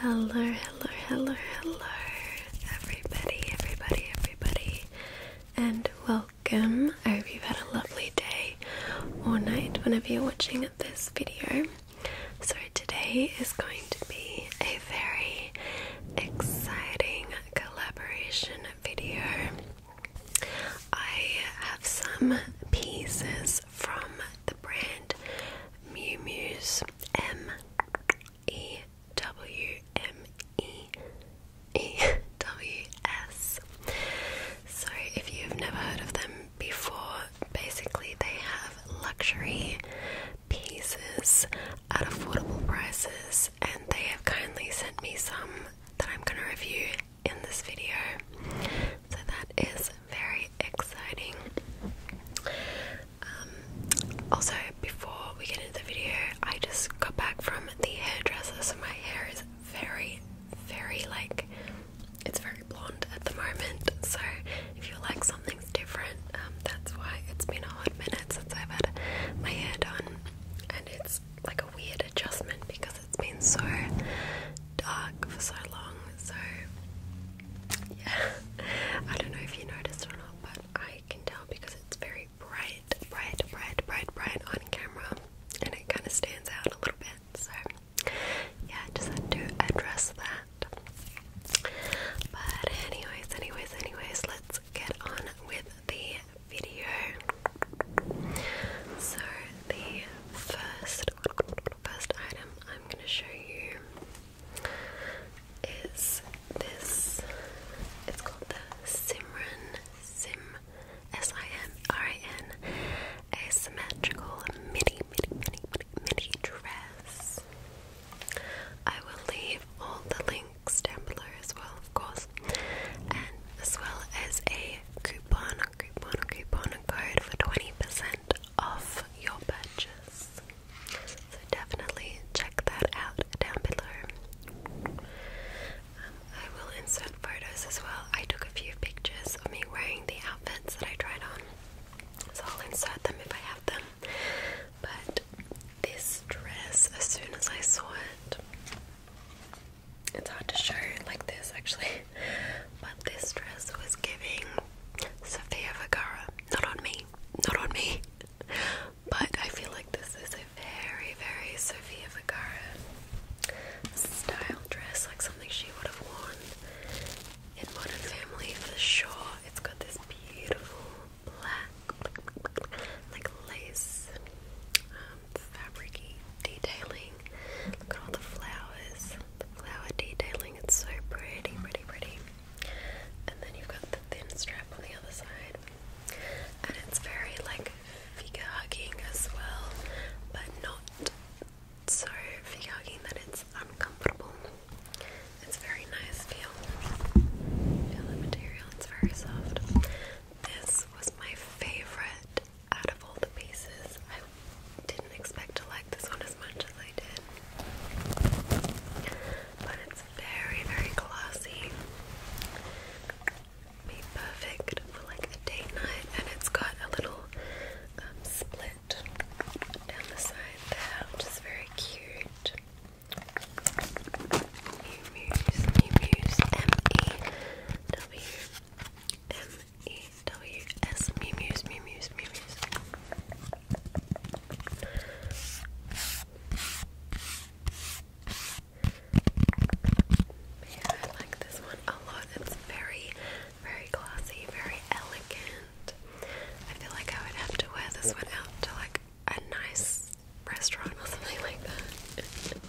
Hello, hello, hello, hello, everybody, everybody, everybody, and welcome. I hope you've had a lovely day or night whenever you're watching this video. So, today is going to be a very exciting collaboration video. I have some pieces is from the brand Mew Muse M E W M E E W S. So, if you've never heard of them before, basically they have luxury pieces at affordable prices, and they have kindly sent me some that I'm going to review in this video. So that is very exciting. Um, also, before we get into the video, I just got back from the hairdresser, so my hair is very, very like it's very blonde at the moment. So, if you like something's different, um, that's why it's been a hot minute since I've had my hair done, and it's like a weird adjustment because because it's been so dark for so long. So, yeah, I don't know if you noticed or not, but I can tell because it's very bright, bright, bright, bright, bright on camera and it kind of stands out a little bit. So, yeah, I just had to address that. But, anyways, anyways, anyways, let's get on with the video. So the first first item I'm going to show you is this. It's called the Simran Sim S I M R I N asymmetrical midi midi midi midi dress. I will leave all the links down below as well, of course, and as well as a coupon coupon code for 20% off your purchase. So definitely check that out down below. Um, I will insert photos as well. I took a few pictures of me wearing the outfits that I tried on, so I'll insert them if I have them. But this dress, as soon as I saw it, it's hard to show like this actually, but this dress was giving Sofia Vergara. Not on me, not on me, but I feel like this is a very, very Sofia Vergara style dress, like something she would have worn in Modern Family for sure. It's got this beautiful black, like lace fabricy detailing. Look at all the flowers, the flower detailing. It's so pretty, pretty, pretty. And then you've got the thin strap on the other side, and it's very like figure hugging as well, but not so figure hugging that it's uncomfortable. It's very nice feel. Feel the material. It's very soft. This was my favorite out of all the pieces, I didn't expect to like this one as much as I did. But it's very, very classy. Be perfect for like a date night, and it's got a little um, split down the side there, which is very cute. Muse, Muse, M-E-W, M-E-W-S, Muse, Muse, Muse. Yeah, I like this one a lot. It's very, very classy, very elegant. I feel like I would have to wear this one out to like a nice restaurant or something like that.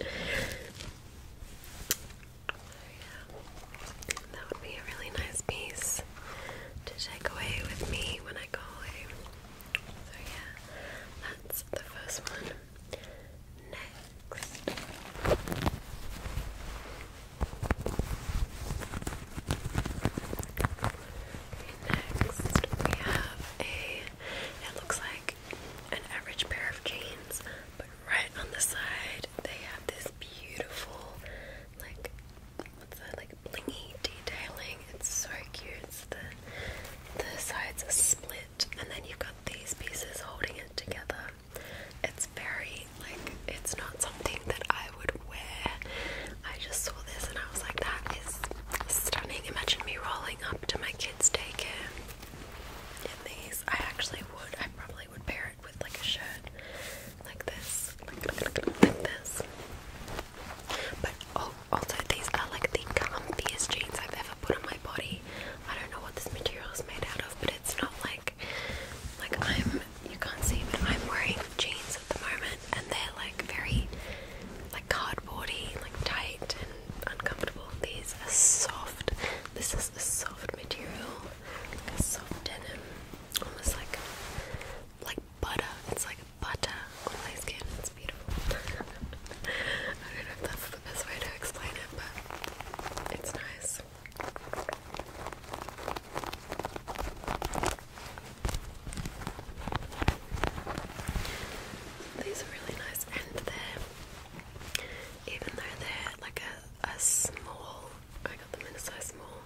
yeah, that would be a really nice piece to take away with me when I go So yeah, that's the first one. Next. next we have a it looks like an average pair of jeans, but right on the side they have this beautiful, like, what's that, like blingy detailing. It's so cute. the the sides are split, and then you've got these pieces holding it together. It's very like it's not something that I would wear. I just saw this and I was like, that is stunning. Imagine me rolling up to my kids' daycare in these. I actually would, I probably would pair it with like a shirt like this, like, like this. But also, these are like the comfiest jeans I've ever put on my body. I don't know what this material is made out of, but it's not like like I'm you can't see, but I'm wearing jeans at the moment, and they're like very like cardboardy, like tight, and uncomfortable. These are soft. This is a soft material, a soft denim, almost like like butter. It's like butter on my skin. It's beautiful. I don't know if that's the best way to explain it, but it's nice. These are really nice, and they're even though they're like a, a small. I got them in a size small.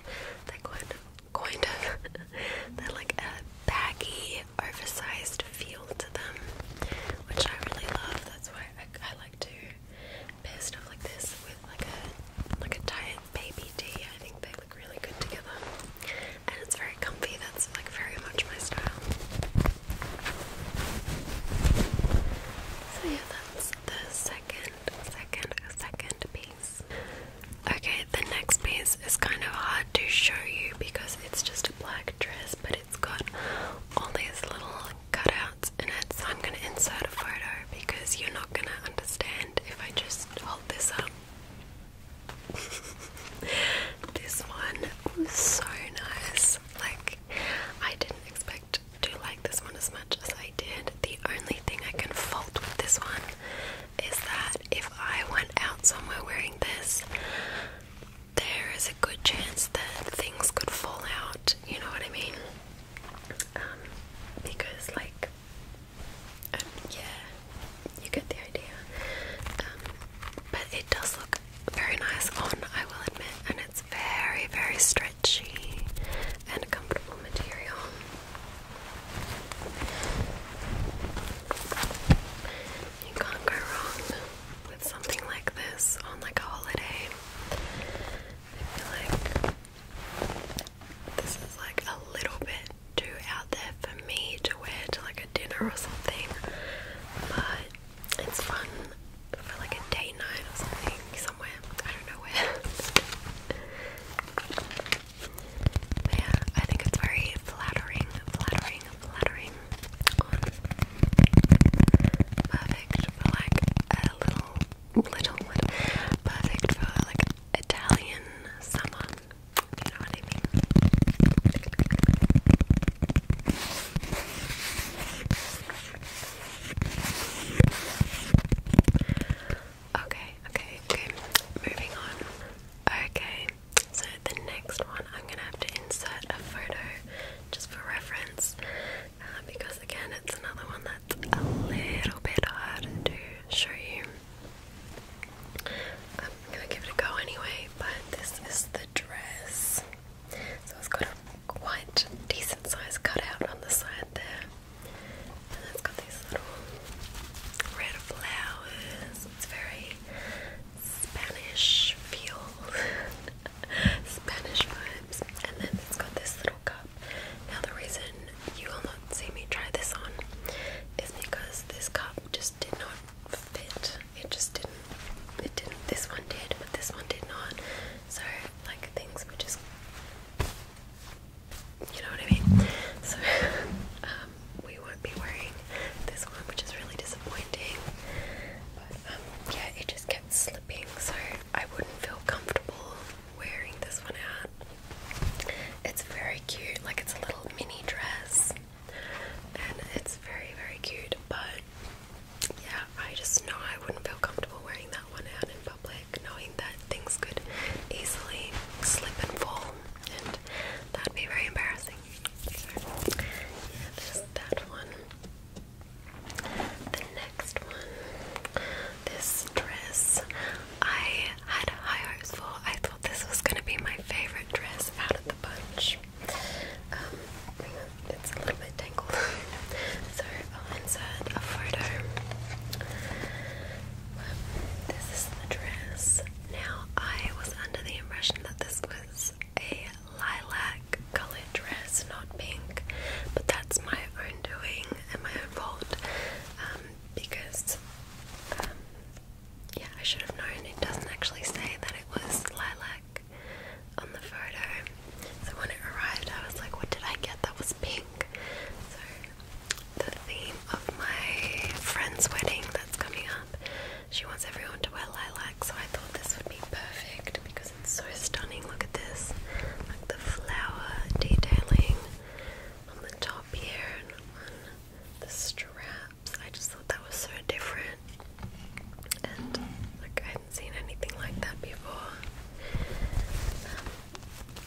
They're kind of, kind of. they're like a baggy, oversized feel to them, which I really love. That's why I, like to pair stuff like this with like a like a diet baby tee. I think they look really good together and it's very comfy. That's like very much my style. So yeah, that's the second, second, second piece. Okay, the next piece is kind of hard to show you because it's just a black dress, but it's got all these little cutouts in it. So I'm gonna insert a photo because you're not gonna understand if I just hold this up. this one was so nice. Like, I didn't expect to like this one as much as I did. The only thing I can fault with this one is that if I went out somewhere wearing this, there is a good chance that things could fall out. You know what I mean? Um, because, like, yeah, you get the idea. Um, but it does look very nice on, I will admit, and it's very, very stretchy and comfortable material. You can't go wrong with something like this on like a holiday. I feel like this is like a little bit too out there for me to wear to like a dinner or something, but it's fun for like a date night or something somewhere. I don't know where. yeah, I think it's very flattering, flattering, flattering. Perfect for like a little, little. Perfect for like Italian summer. Okay, okay, okay. Moving on. Okay, so the next one I'm gonna have to insert a photo just for reference uh, because again it's another one that's a little bit hard to show you. I'm gonna give it a go anyway, but this is the dress. So it's got a quite decent size cutout on the side there. And it's got these little red flowers. It's very Spanish feel. Spanish vibes. And then it's got this little cup. Now the reason you will not see me try this on is because this cup just did not fit. It just didn't it didn't this one did, but this one did not. So like things were just you know what I mean? So um we won't be wearing this one which is really disappointing. But um, yeah it just kept slipping so I wouldn't feel comfortable wearing this one out, It's very cute, like it's a little mini dress, and it's very, very cute. But yeah, I just know I wouldn't feel comfortable wearing that one out in public, knowing that things could easily slip and fall, and that'd be very embarrassing. So, yeah, there's that one. The next one this dress I had high hopes for. I thought this was going to be my favorite dress out of the bunch. Um, it's a little bit tangled, so I'll insert a photo. this is the dress. Now, I was under the impression that this was a lilac colored dress, not pink, but that's my own doing and my own fault. Um, because, um, yeah, I should have known it doesn't actually say that it was lilac on the photo. So when it arrived, I was like, what did I get that was pink? So the theme of my friend's wedding that's coming up, she wants everyone to wear lilac, so I thought this would be perfect because it's so stunning. Look at this, like the flower detailing on the top here the straps. I just thought that was so different. And like I hadn't seen anything like that before.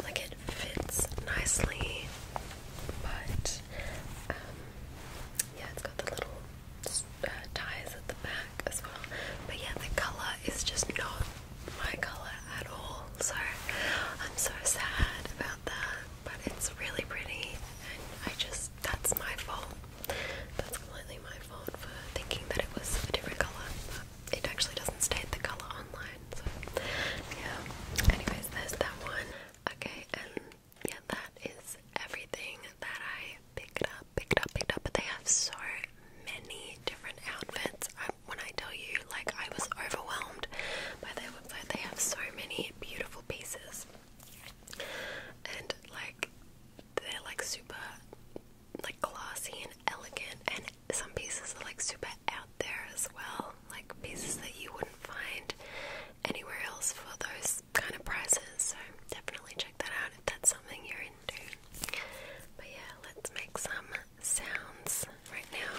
like it fits nicely, but um, yeah, it's got the little uh, ties at the back as well. But yeah, the color is just not my color at all, so I'm so sad about that. But it's really pretty, and I just that's my fault. That's completely my fault for thinking that it was a different color, it actually doesn't state the color online. So yeah. Anyways, there's that one. Okay, and um, yeah, that is everything that I picked up, picked up, picked up. But they have so many different outfits. I, when I tell you, like, I was overwhelmed by their website. They have so many beautiful pieces, and like, they're like super, like, classy and elegant. And some pieces are like super out there as well, like pieces that you wouldn't find anywhere else for those kind of prices. So definitely check that out if that's something you're but yeah, let's make some sounds right now.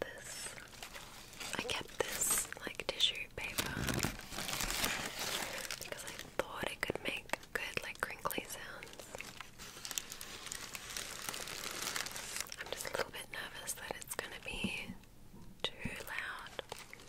This I kept this like tissue paper because I thought it could make good like crinkly sounds. I'm just a little bit nervous that it's gonna be too loud.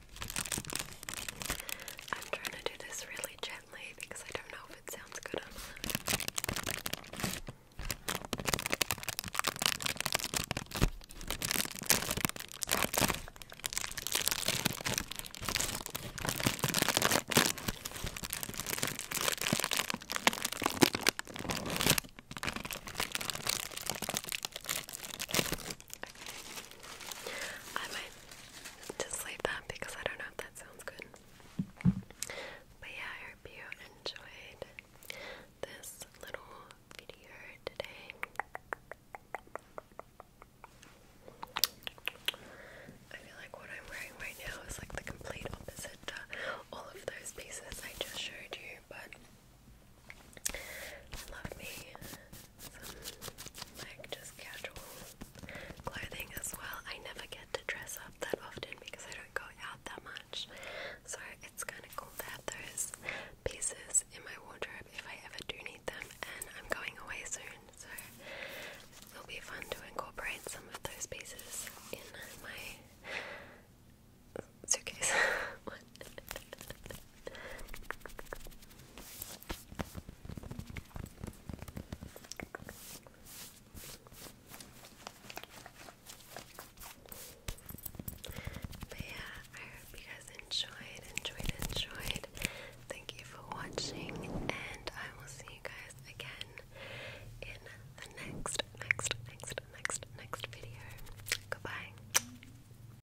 I'm trying to do this really gently because I don't know if it sounds good or not. Okay. I might just leave that because I don't know if that sounds good. But yeah, I hope you enjoyed this little video today. I feel like what I'm wearing right now is like the complete opposite to all of those pieces I just showed you, but love me like just casual clothing as well. I never get to dress up that often because I don't go out that much. So it's kind of cool to have those pieces in my wardrobe if I ever do need them. And I'm going away soon, so it'll be fun to incorporate some of those pieces in my suitcase. my but yeah, I hope you guys enjoyed, enjoyed, enjoyed. Thank you for watching, and I will see you guys again in the next, next, next, next, next video. Goodbye.